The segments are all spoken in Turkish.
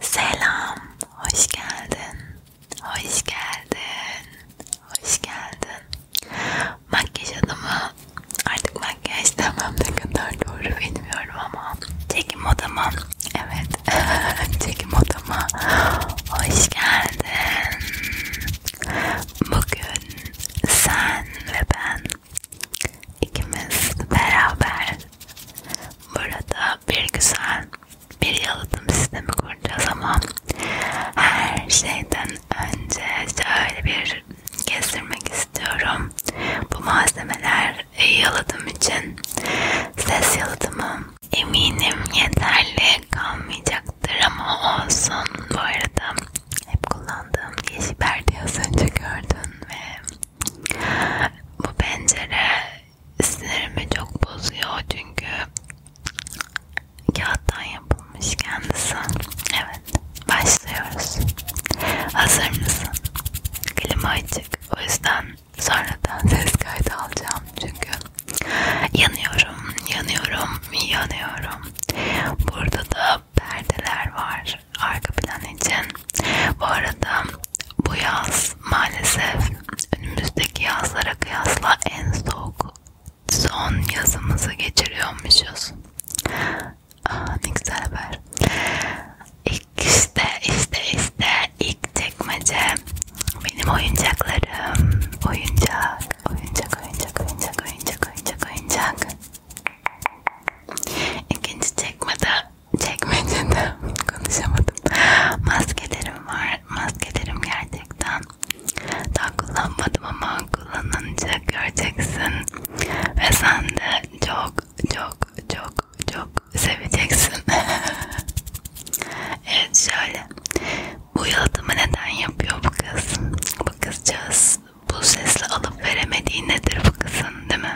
Selam, hoş geldin, hoş geldin, hoş geldin. Makyaj adımı artık makyaj demem ne kadar doğru bilmiyorum ama çekim odama, evet çekim odama hoş geldin. Bugün sen ve ben ikimiz beraber Burada bir güzel bir yalıtım sistemi kuracağız ama her şeyden önce şöyle bir kestirmek istiyorum. Bu malzemeler yalıtım için ses yalıtımı eminim yeterli kalmayacaktır ama olsun. Bu arada hep kullandığım yeşil perdeyi az önce gördün ve bu pencere sinirimi çok bozuyor çünkü kağıttan yapılmış kendisi. Evet, başlıyoruz. Hazır mısın? Klima açık. O yüzden sonradan ses kaydı alacağım çünkü yanıyorum, yanıyorum, yanıyorum. Burada da perdeler var arka plan için. Bu arada bu yaz yaz maalesef önümüzdeki yazlara kıyasla en soğuk son yazımızı geçiriyormuşuz. Aa, ah, ne güzel haber. İlk işte işte işte ilk çekmece benim oyuncaklarım oyuncak oyuncak oyuncak oyuncak oyuncak oyuncak oyuncak. İkinci çekmede çekmecede konuşamadım. Maskelerim var. Maskelerim gerçekten daha kullanmadım ama kullanınca göreceksin ve sen de çok çok çok çok seveceksin. evet şöyle. Bu yalıtımı neden yapıyor bu kız? Bu kızcağız bu sesle alıp veremediği nedir bu kızın değil mi?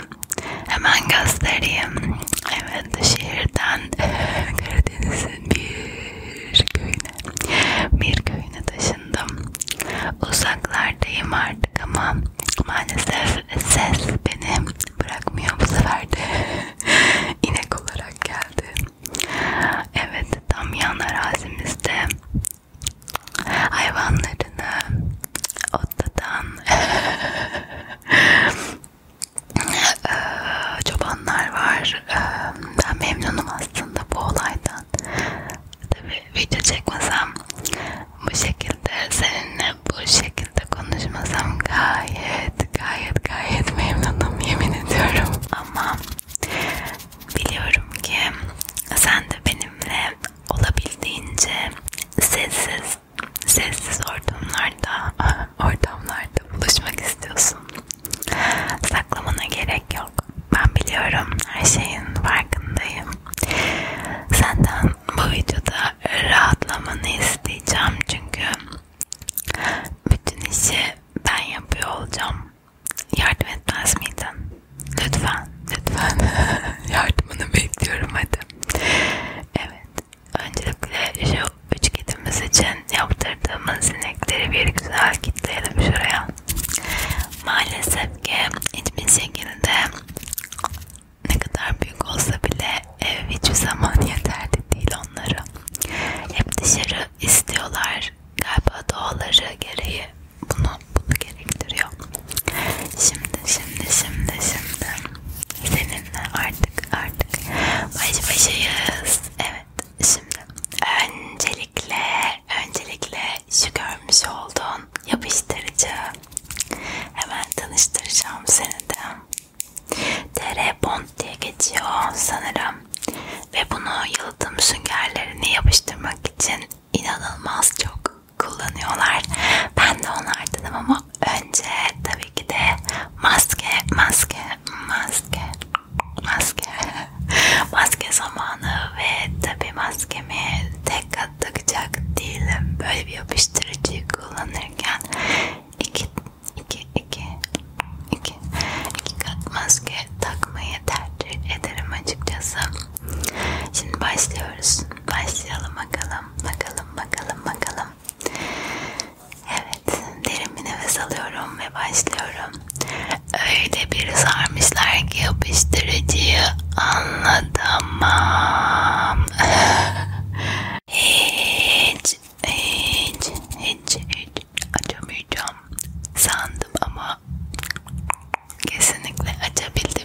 Hemen göstereyim. Evet şehirden e, Karadeniz'in bir köyüne bir köyüne taşındım. Uzaklardayım artık ama maalesef ses beni bırakmıyor bu sefer de inek olarak geldi. Evet tam yan arazimizde hayvanlarını o haftadan çobanlar var. Ben memnunum aslında bu olaydan. Tabii video çekmesem bu şekilde seninle bu şekilde konuşmasam gayet gayet gayet memnunum yemin ediyorum. Ama biliyorum ki sen de benimle olabildiğince sessiz sessiz ortamlarda, ortamlarda buluşmak istiyorsun. Saklamana gerek yok. Ben biliyorum, her şeyin farkındayım. Senden bu videoda rahatlamanı isteyeceğim çünkü bütün işi ben yapıyor olacağım. Yardım etmez miydin? Lütfen, lütfen yardımını bekliyorum hadi. Evet, Öncelikle şu üç kedimiz için yaptırdığımız sinekleri bir güzel kitleyelim şuraya. Maalesef ki hiçbir şekilde ne kadar büyük olsa bile ev hiçbir zaman yeterli değil onlara. Hep dışarı istiyorlar. Galiba doğaları gereği bunu bunu gerektiriyor. Şimdi şimdi şimdi şimdi seninle artık artık baş başayız. Evet şimdi öncelikle öncelikle şu görmüş olduğun yapıştırıcı hemen tanıştıracağım seni de. TR Bond diye geçiyor sanırım ve bunu yalıtım süngerlerini yapıştırmak için inanılmaz çok kullanıyorlar. Ben de onlardanım ama önce tabii ki de maske, maske, maske, maske, maske zamanı ve tabii maskemi tek kat takacak değilim. Böyle bir yapıştırıcıyı kullanırken iki, iki, iki, iki, iki kat maske takmayı tercih ederim açıkçası. Şimdi başlıyoruz. Başlayalım bakalım. Bakalım, bakalım, bakalım. Evet, derin bir nefes alıyorum ve başlıyorum. Öyle bir sarmışlar ki yapıştırıcıyı anlatamam. hiç, hiç, hiç, hiç açamayacağım sandım ama kesinlikle açabildim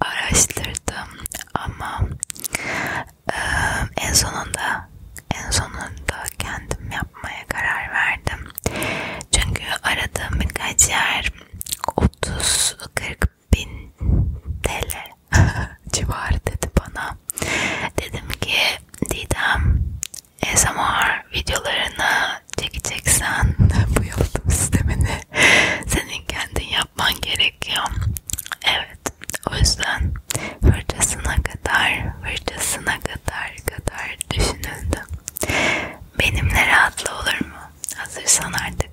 araştırdım ama e, en sonunda en sonunda kendim yapmaya karar verdim. Çünkü aradığım birkaç yer 30-40 bin TL civarı dedi bana. Dedim ki Didem ASMR videolarını çekeceksen bu yalıtım sistemini senin kendin yapman gerekiyor gerekiyor. Evet. O yüzden fırçasına kadar, fırçasına kadar kadar düşünüldü. Benimle rahatlı olur mu? Hazırsan artık.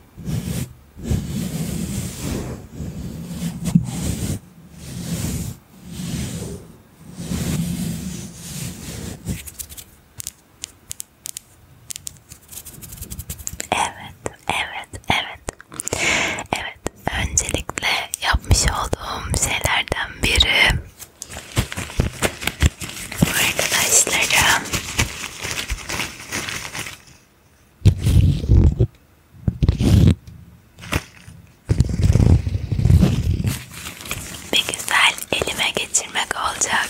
Evet, evet, evet. Evet, öncelikle yapmış olduğum şeylerden biri arkadaşlarım bir güzel elime geçirmek olacak.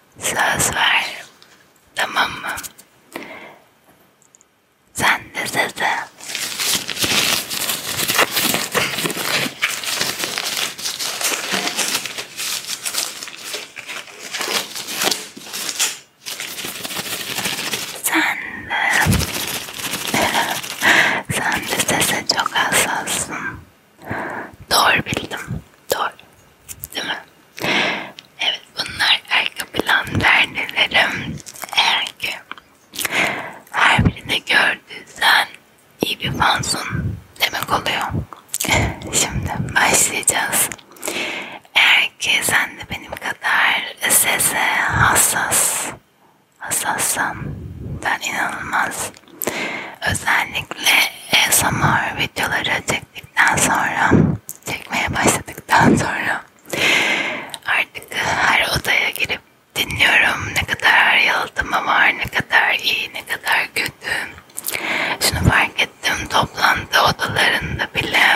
Söz ver. Tamam mı? Sen de sese. Sen de. Sen de sese çok hassassın. Doğru bildim. Doğru. Değil mi? Evet bunlar arka plan perdelerim. Eğer ki her birini gördüysen iyi bir fansın demek oluyor. Şimdi başlayacağız. Eğer ki sen de benim kadar sese hassas hassassan ben inanılmaz Özellikle ASMR videoları çektikten sonra, çekmeye başladıktan sonra artık her odaya girip dinliyorum ne kadar yalıtımı var, ne kadar iyi, ne kadar kötü. Şunu fark ettim, toplantı odalarında bile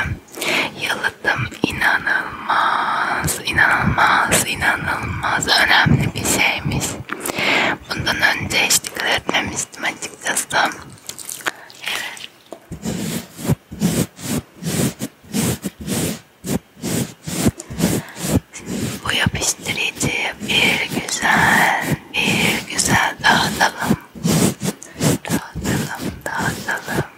yalıtım inanılmaz, inanılmaz, inanılmaz önemli bir şeymiş. Bundan önce hiç dikkat etmemiştim açıkçası. Evet. Bu yapıştırıcıyı bir güzel, bir güzel dağıtalım. Dağıtalım, dağıtalım.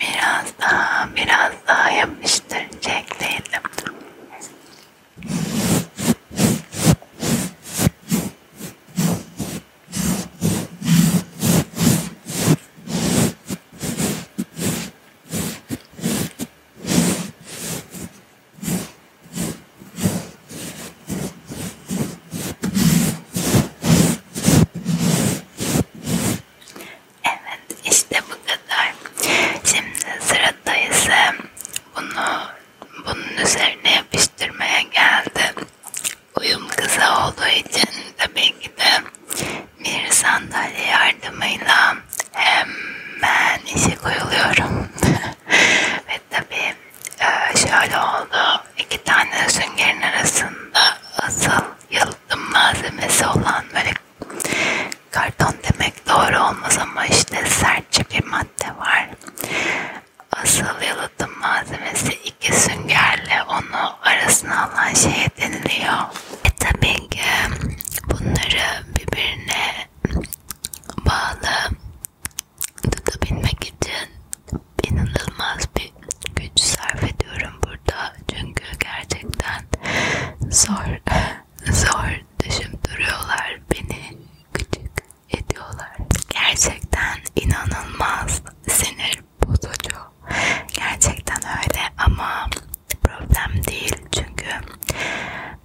Biraz daha, biraz daha yapıştıracaktaydım. Evet işte bu kadar. Şimdi sırada ise bunu bunun üzerine yapıştırmaya geldi uyum kısa olduğu için tabii ki de bir sandalye yardımıyla hemen işe koyuluyorum. Ve tabii e, şöyle oldu. İki tane süngerin arasında asıl yalıtım malzemesi olan böyle karton demek doğru olmaz ama işte sertçe bir madde var. Asıl yalıtım malzemesi iki süngerle onu arasına alınan şeye deniliyor. E tabii ki bunları birbirine bağlı tutabilmek için inanılmaz bir güç sarf ediyorum burada. Çünkü gerçekten zor, zor düşündürüyorlar beni küçük ediyorlar. Gerçekten inanılmaz sinir bir bozucu. Gerçekten öyle ama problem değil çünkü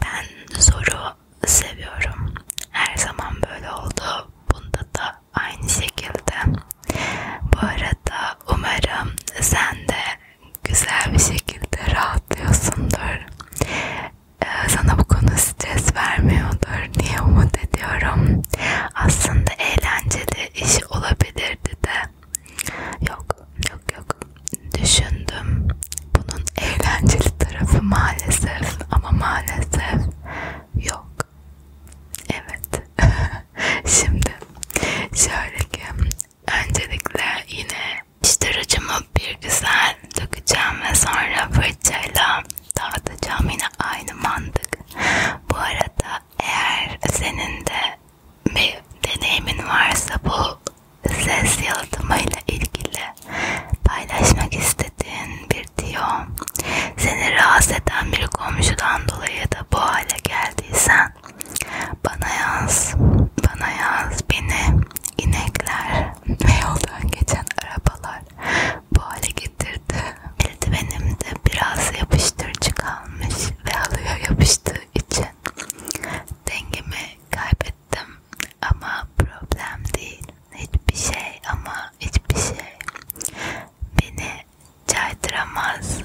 ben zoru seviyorum. Her zaman böyle oldu. Bunda da aynı şekilde. Bu arada umarım sen de güzel bir şekilde rahatlıyorsundur. Ee, sana bu konu stres vermiyordur. Niye umut ediyorum? Aslında eğlenceli iş olabilirdi de yok yok yok düşündüm bunun eğlenceli tarafı maalesef ama maalesef yok evet şimdi şöyle ki öncelikle yine piştiricimi bir güzel dökeceğim ve sonra fırçayla dağıtacağım yine aynı mantık bu arada eğer senin de bir deneyimin varsa bu ses yalıtımıyla ilgili paylaşmak istediğin bir tiyo, seni rahatsız eden bir komşudan dolayı da bu hale geldiysen bana yaz, bana yaz beni inekler ve yoldan geçen arabalar bu hale getirdi. Eldivenimde biraz yapıştırıcı kalmış ve halıya yapıştığı için dengemi kaybettim ama problem değil. Hiçbir şey ama hiçbir şey beni çaydıramaz.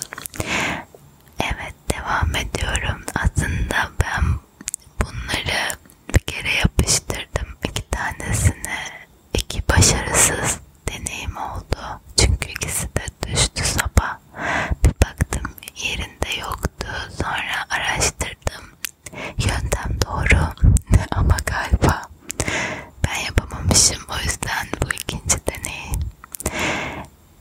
Evet devam ediyorum. Aslında ben bunları bir kere yapıştırdım. iki tanesini iki başarısız deneyim oldu. Çünkü ikisi de düştü sapa. Bir baktım yerinde yoktu. Sonra araştırdım. Yöntem doğru ama galiba ben yapamamışım. O yüzden bu ikinci deneyim.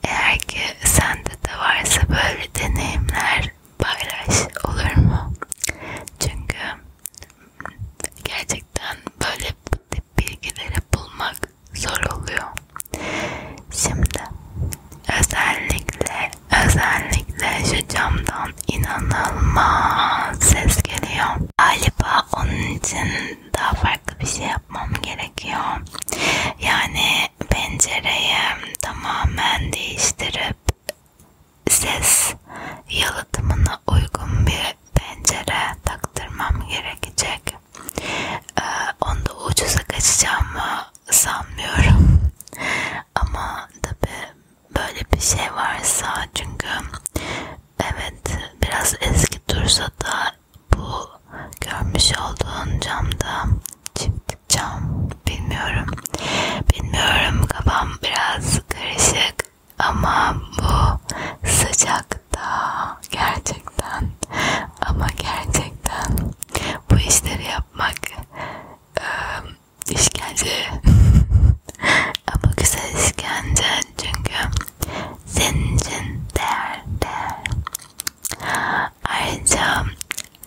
Eğer ki sende de varsa böyle deneyimler paylaş olur mu? Çünkü gerçekten böyle ciddi bilgileri bulmak zor oluyor. Şimdi özellikle özellikle şu camdan inanılmaz ses geliyor. Galiba onun için daha farklı bir şey yapmam gerekiyor. Yani pencereyi tamamen değiştirip ses yalıtımını bana uygun bir pencere taktırmam gerekecek. Ee, onu da ucuza kaçacağımı sanmıyorum. Ama tabi böyle bir şey varsa çünkü evet biraz eski dursa da bu görmüş olduğun camda çift cam bilmiyorum bilmiyorum kafam biraz karışık ama bu sıcakta gerçekten ama gerçekten bu işleri yapmak ıı, işkence ama güzel işkence çünkü senin için değer değer. Ayrıca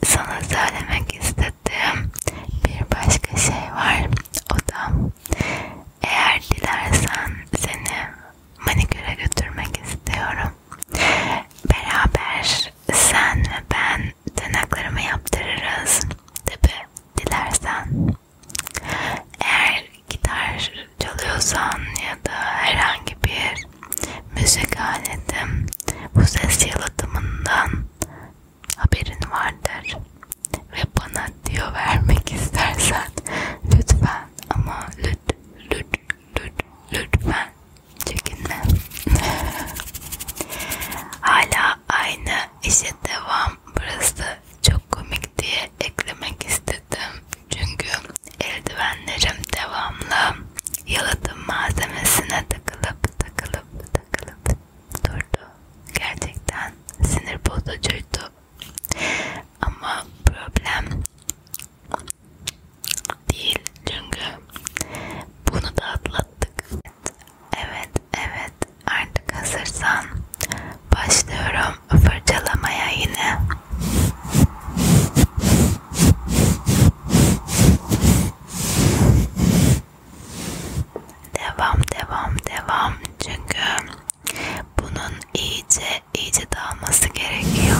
sana söylemek istediğim bir başka şey var. O da eğer dilersen seni maniküre götürmek istiyorum. Beraber sen ve ben tırnaklarımı yaptırırız. Tabi dilersen. Eğer gitar çalıyorsan ya da herhangi bir müzik aleti bu ses yalıtımından haberin vardır ve bana diyor vermek istersen lütfen ama lüt lüt lüt lütfen çekinme. Hala aynı işe devam. Burası çok komik diye eklemek istedim çünkü eldivenlerim devamlı yalıtım malzemesine takılıp takılıp takılıp durdu. Gerçekten sinir bozucuydu ama problem değil çünkü bunu da atlattık. Evet, evet artık hazırsan başlıyorum fırçalamaya yine. Devam, devam, devam çünkü bunun iyice iyice dağılması gerekiyor.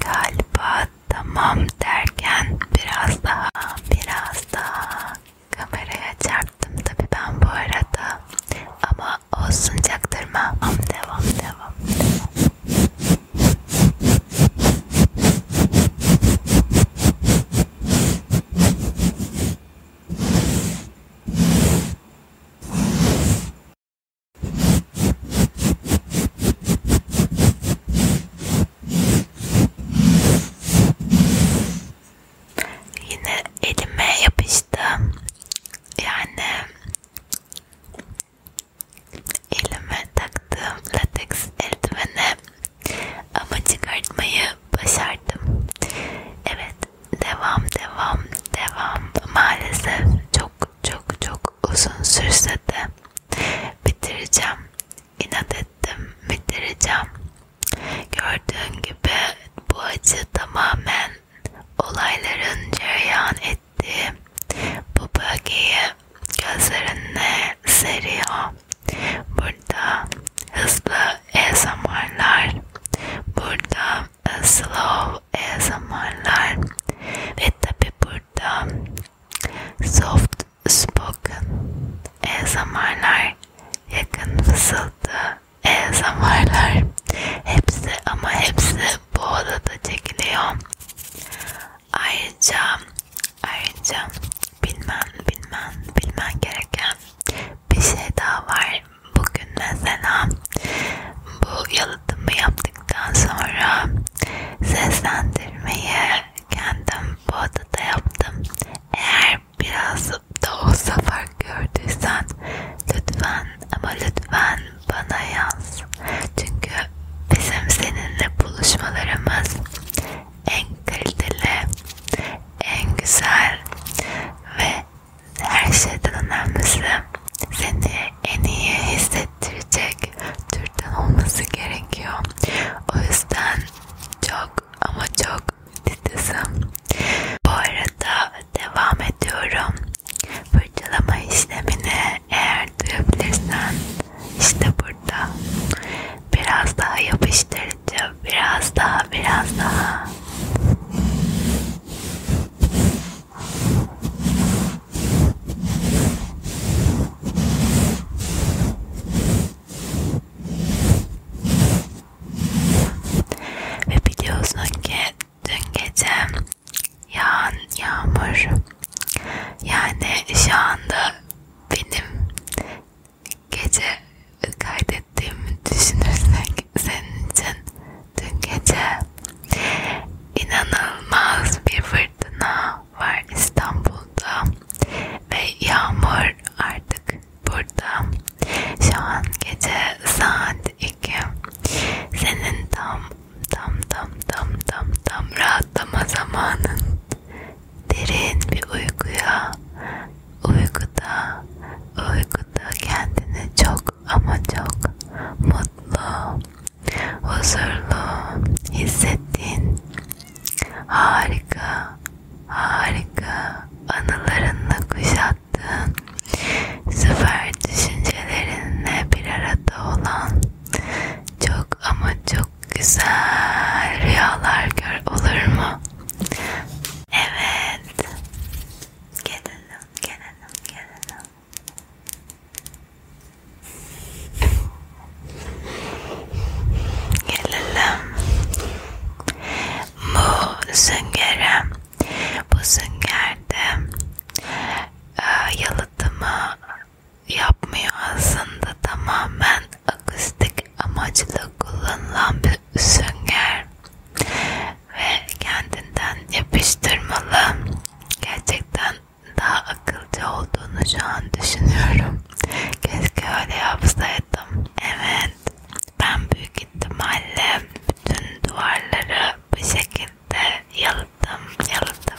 Galiba tamam derken biraz daha biraz daha kameraya çarptım tabi ben bu arada ama olsun çaktırma devam devam devam Yine elime yapıştı. Yani elime taktığım lateks eldiveni ama çıkartmayı başardım. Evet, devam, devam, devam. Maalesef çok çok çok uzun sürse de bitireceğim. İnat ettim, bitireceğim. Gördüğün gibi bu acı tamamen olayların cereyan ettiği bu bölgeyi gözlerine seriyor. Burada hızlı ASMR'lar, burada e, slow ASMR'lar ve tabi burada soft spoken ASMR'lar, yakın fısıltı ASMR'lar. Hepsi ama hepsi bu odada çekiliyor. Ayrıca Ayrıca bilmen bilmen bilmen gereken bir şey daha var. Bugün mesela bu yalıtımı yaptıktan sonra seslendirmeyi kendim bu odada yaptım. Eğer biraz da olsa fark gördüysen lütfen ama lütfen bana yaz. Çünkü bizim seninle buluşmalarımız en kaliteli, en güzel ve her şeyden önemlisi seni en iyi hissettirecek türden olması gerekiyor. O yüzden çok ama çok titizim. Bu arada devam ediyorum. Fırçalama işlemini eğer duyabilirsen işte burada biraz daha yapıştır çok biraz daha biraz daha. Ve biliyorsun ki dün gece yağan yağmur yani şu anda benim gece kaydettiğimi düşünürsek senin için dün gece inanılmaz bir fırtına var İstanbul'da ve yağmur artık burada. Şu an gece saat 2. Senin tam tam tam tam tam tam rahatlama zamanın derin bir uykuya, uykuda, uykuda kendini çok ama çok mutlu, huzurlu hissettiğin harika, harika anılarınla kuşattığın süper düşüncelerinle bir arada olan çok ama çok çok güzel rüyalar gör olur mu? Evet. Gelelim, gelelim, gelelim. Gelelim. Bu süngerim. Bu süngerde e, yalıtımı yapmıyor aslında tamamen akustik amaçlı kullanılan bir sünger ve kendinden yapıştırmalı. Gerçekten daha akılcı olduğunu şu an düşünüyorum. Keşke öyle yapsaydım. Evet, ben büyük ihtimalle bütün duvarları bu şekilde yalıttım, yalıttım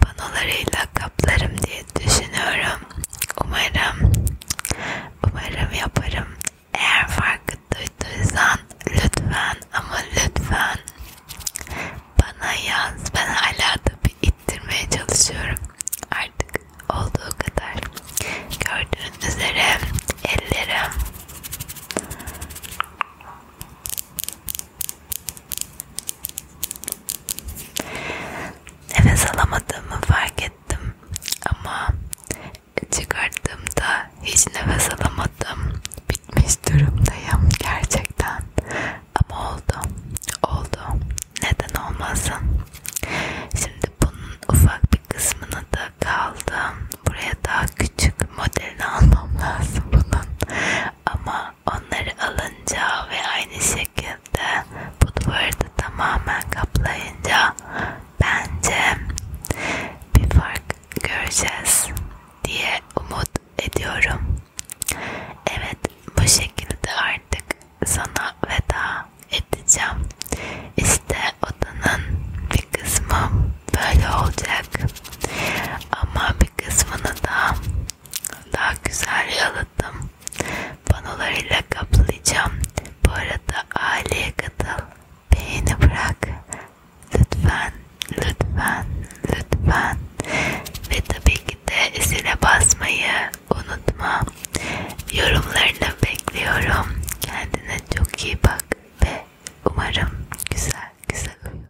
panolarıyla kaplarım diye düşünüyorum. Umarım, umarım yaparım. Eğer farkı duyduysan lütfen ama lütfen bana yaz. Ben hala da bir ittirmeye çalışıyorum. Artık olduğu kadar. Gördüğünüz üzere ellerim Nefes alamadığımı fark ettim ama çıkarttığımda hiç nefes alamadım. Bitmiş durumdayım gerçekten. Ama oldu. Oldu. Neden olmasın? Şimdi bunun ufak bir kısmını da kaldı. Buraya daha küçük modelini almam lazım bunun. Ama Onları alınca ve aynı şekilde bu duvarı da tamamen kaplayınca bence bir fark göreceğiz diye umut ediyorum. Evet bu şekilde artık sana veda edeceğim. İşte odanın bir kısmı böyle olacak ama bir kısmını da daha güzel yalıttım. Panolarıyla kaplayacağım. Bu arada aileye katıl. Beğeni bırak. Lütfen, lütfen, lütfen. Ve tabii ki de zile basmayı unutma. Yorumlarını bekliyorum. Kendine çok iyi bak ve umarım güzel güzel uyur.